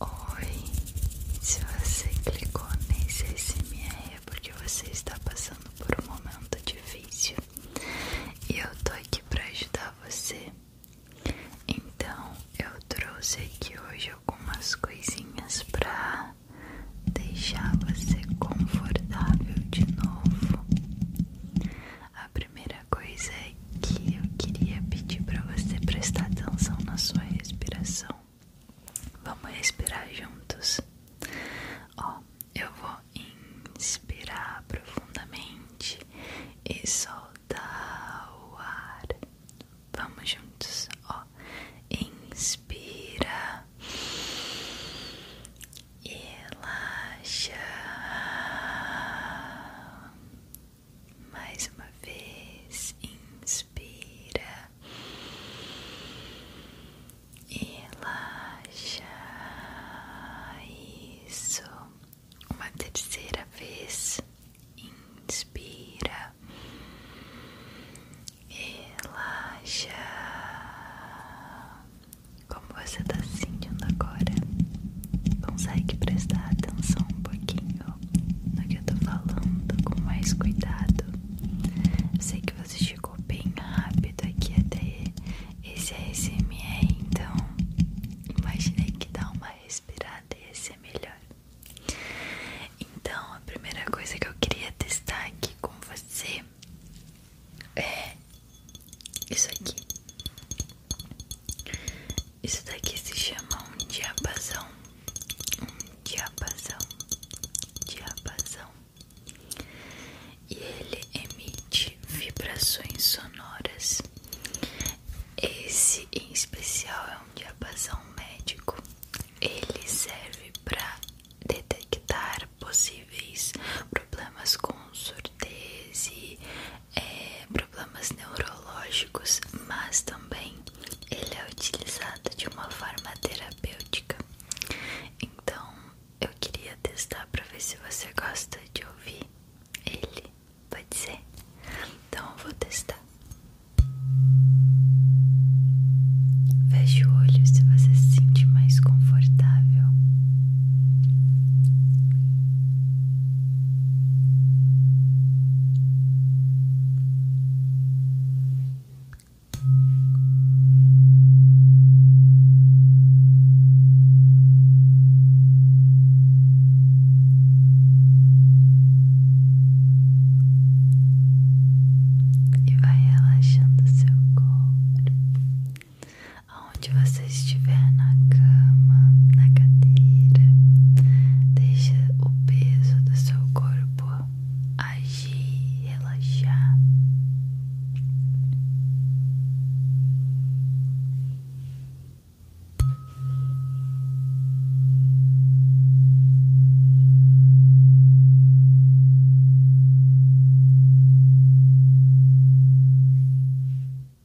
Oi, se você clicou nesse SMR é porque você está passando por um momento difícil e eu tô aqui para ajudar você. Então eu trouxe aqui hoje algumas coisinhas para deixar você confortável de novo. A primeira coisa é que eu queria pedir para você prestar atenção na sua respiração. Vamos respirar juntos. Ó, eu vou inspirar profundamente e soltar o ar. Vamos juntos, ó. Inspira. Relaxa. Mais uma vez, inspira e relaxa. Isso. Uma terceira vez, inspira, relaxa. Como você está sentindo agora? Vamos sair consegue prestar atenção um pouquinho no que eu tô falando com mais cuidado. Eu sei que você chegou bem rápido aqui até esse ASMR, então imaginei que dá uma respirada ia ser melhor. Então, a primeira coisa que eu queria testar aqui com você é isso aqui. Isso daqui se chama um diapasão. Um diapasão. Diapasão. E ele emite vibrações sonoras. Esse em especial é um diapasão médico. Ele serve para detectar possíveis problemas com surdez é, problemas neurológicos, mas também ele é utilizado de uma forma terapêutica. Então, eu queria testar para ver se você gosta de ouvir ele, pode ser? Então, eu vou testar. Veja o olho se você se sentir mais confortável. E vai relaxando seu corpo aonde você estiver na cama, na cadeira, deixa o peso do seu corpo agir, relaxar.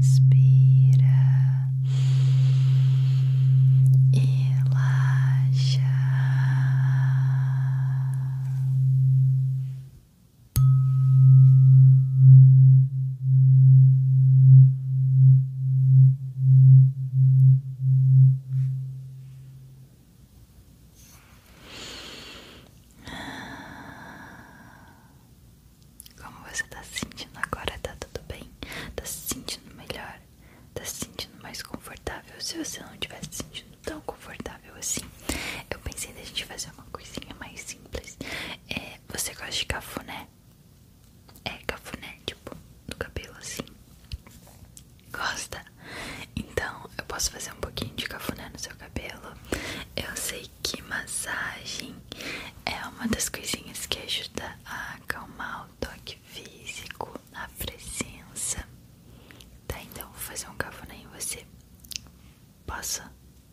Inspira e relaxa. Como você tá se sentindo agora? Tá tudo bem? Tá se sentindo melhor? Tá se sentindo mais confortável? Se você não tivesse se sentindo tão confortável assim, eu pensei da gente fazer uma coisinha mais simples. É, você gosta de cafuné? É cafuné, tipo, do cabelo assim. Gosta? Então eu posso fazer um pouquinho de cafuné no seu cabelo. Eu sei que massagem é uma das coisinhas que ajuda a acalmar o toque físico, a presença. Tá, então vou fazer um cafuné em você. Posso?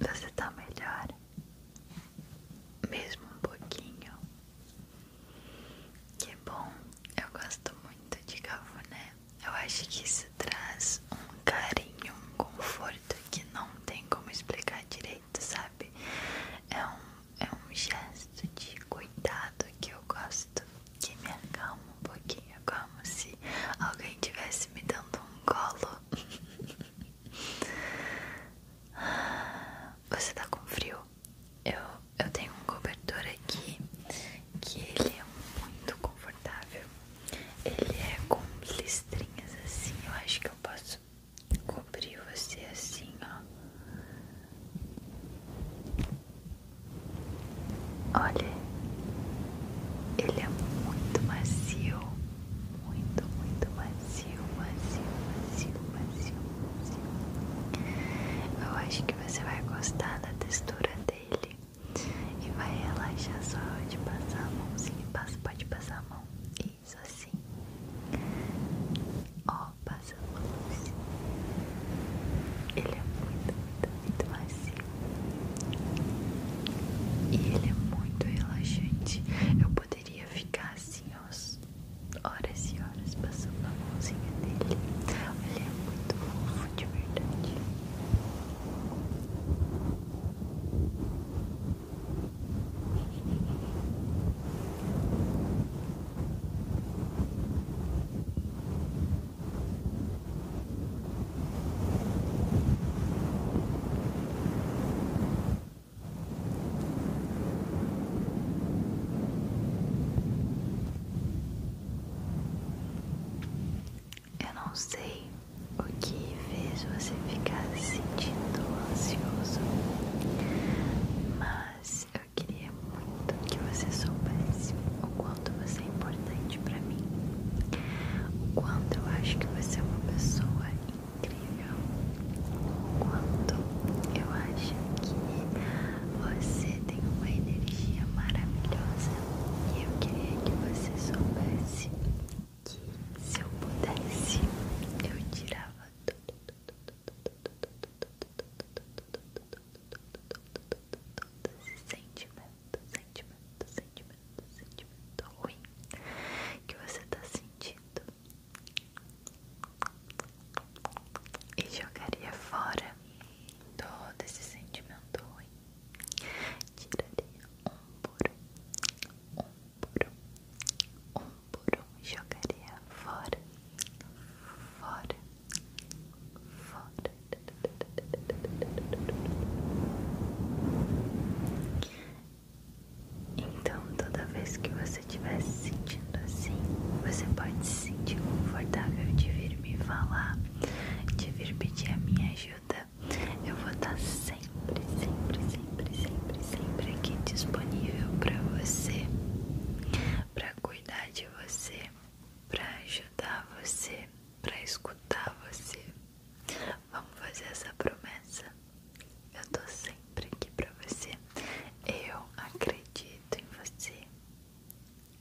Você tá melhor, mesmo um pouquinho. Que bom, eu gosto muito de cafuné. Eu acho que isso traz um carinho, um conforto que não tem como explicar direito, sabe? É um é um gesto de cuidado que eu gosto, que me acalma um pouquinho, como se alguém tivesse me dando um colo. Você tá com frio? Eu, eu tenho um cobertor aqui que ele é muito confortável. Ele é com listrinhas assim, eu acho que eu posso cobrir você assim, ó. Olha, ele é muito macio, muito, muito macio, macio, macio, macio, macio. Eu acho que você vai gostar da textura dele e vai relaxar só de passar a mãozinha. Passa, pode passar a mão. Isso assim. Ó roupa, essa mousse. Ele é muito, muito, muito macio. E ele é muito relaxante. Eu poderia ficar assim, horas e horas passando a mãozinha dele. Ele é muito fofo, de verdade. Eu não sei o que fez você ficar se sentindo ansioso, mas eu queria muito que você soubesse o quanto você é importante para mim, o quanto eu acho que você é uma pessoa incrível, o quanto eu acho que você tem uma energia maravilhosa e eu queria que você soubesse que se eu pudesse eu tirava tudo Todo esse sentimento, sentimento, sentimento, sentimento ruim que você está sentindo e jogaria fora todo esse sentimento ruim, tiraria um por um por um, um por um jogaria fora, fora, fora. Então, toda vez que você estiver se sentindo assim, você pode se sentir confortável de vir me falar, de vir pedir a minha ajuda. Eu vou estar tá sempre, sempre, sempre, sempre, sempre aqui disponível para você, para cuidar de você, para ajudar você, para escutar você. Vamos fazer essa promessa. Eu tô sempre aqui para você. Eu acredito em você.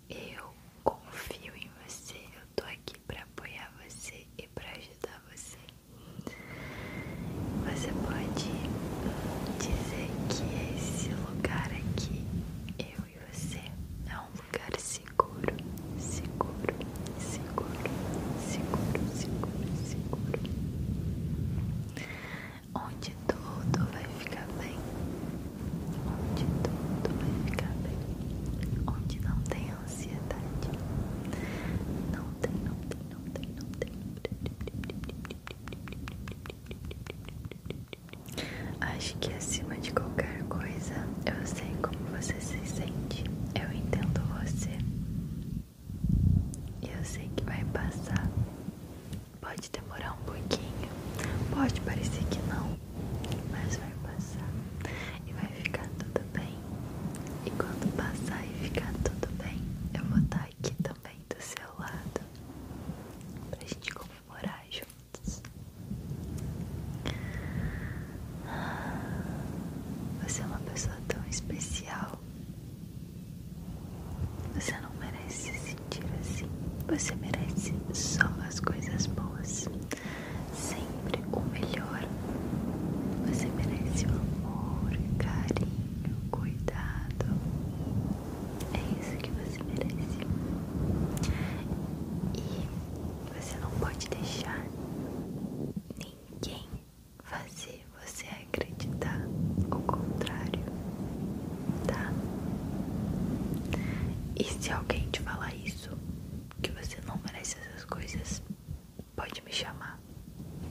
Eu confio em você. Eu tô aqui para apoiar você e para ajudar você. Você pode dizer que esse lugar aqui, eu e você, é um lugar seguro, seguro, seguro, seguro, seguro, seguro, onde tudo vai ficar bem, onde tudo vai ficar bem, onde não tem ansiedade, não tem, não tem. Acho que acima de qualquer coisa, eu sei como você se sente. Eu entendo você. E eu sei que vai passar. Pode demorar um pouquinho, pode parecer que não, mas vai passar e vai ficar tudo bem. E quando passar e ficar tudo bem, eu vou estar tá aqui também do seu lado pra gente comemorar juntos. Você é uma pessoa tão especial. Você não merece se sentir assim. Você merece só as coisas boas. Sempre o melhor. Você merece o amor, carinho, cuidado. É isso que você merece. E você não pode deixar ninguém fazer você acreditar o contrário, tá? E se alguém te falar isso, que você não merece essas coisas, Pode me chamar,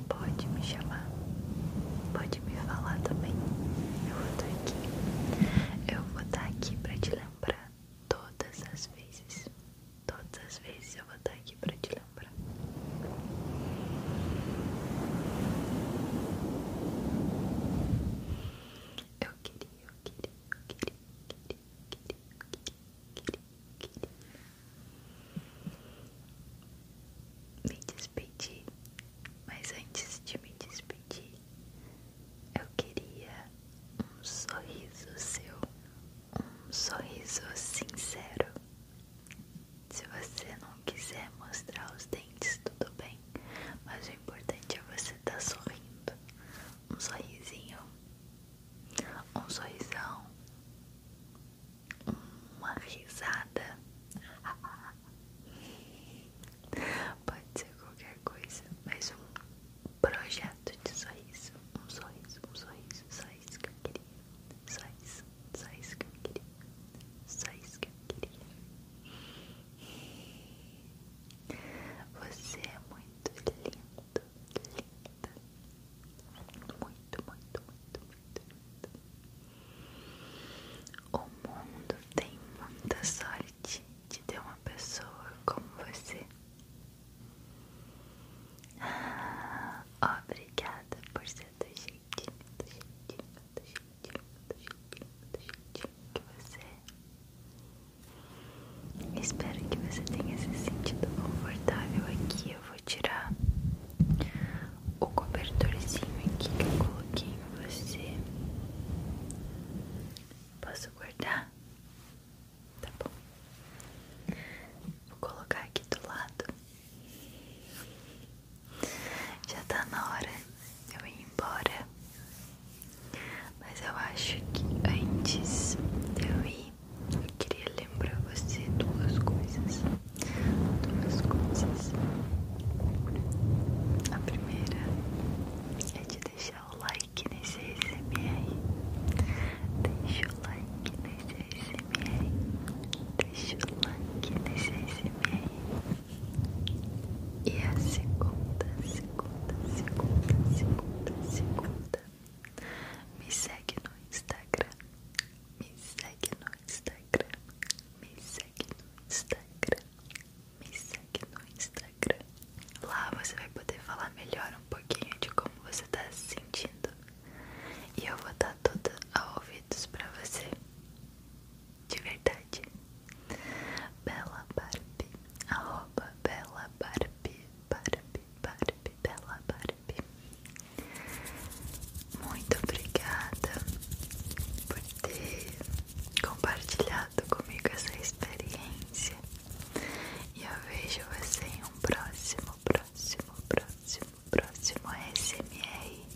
pode me chamar, pode me falar também. Eu vou estar aqui, eu vou estar aqui para te lembrar todas as vezes. Todas as vezes eu vou estar aqui para te lembrar. Eu queria, eu queria, eu queria, eu queria, me despedir, mas antes de me despedir, eu queria um sorriso seu, um sorriso sincero. Se você não quiser mostrar os dentes, tudo bem, mas o importante é você estar tá sorrindo um sorrisinho, um sorrisão, uma risada. Pode ser qualquer coisa, mas um projeto de sorriso, um sorriso, um sorriso, só isso que eu queria, só isso, só isso que eu queria, só isso que eu queria. Você é muito lindo, linda. Muito, muito, muito, muito, muito. O mundo tem muita sorte de ter uma pessoa como você. obrigada por ser do jeitinho, do jeitinho, do jeitinho, do jeitinho, do jeitinho que você é. Espero que você tenha se sentido confortável aqui. Eu vou tirar o cobertorzinho aqui que eu coloquei em você. Posso guardar? Tá bom. Vou colocar aqui do lado. Já tá na hora eu ir embora. Mas eu acho que antes de eu ir, eu queria lembrar você duas coisas. Duas coisas. A primeira é de deixar o like nesse SMR. Deixa o like nesse SMR. Deixa o like nesse SMR. E a segunda, segunda, segunda, segunda, segunda me segue no Instagram. Me segue no Instagram. Me segue no Instagram. Me segue no Instagram. Lá você vai poder falar melhor um pouquinho de como você tá se sentindo. E eu vou estar toda a ouvidos pra você. De verdade. Bela Arroba Bela Barbie, Barbie, Barbie, bela Barbie. Muito obrigada por ter compartilhado comigo essa experiência. E eu vejo você em um próximo, próximo, próximo, próximo SMR.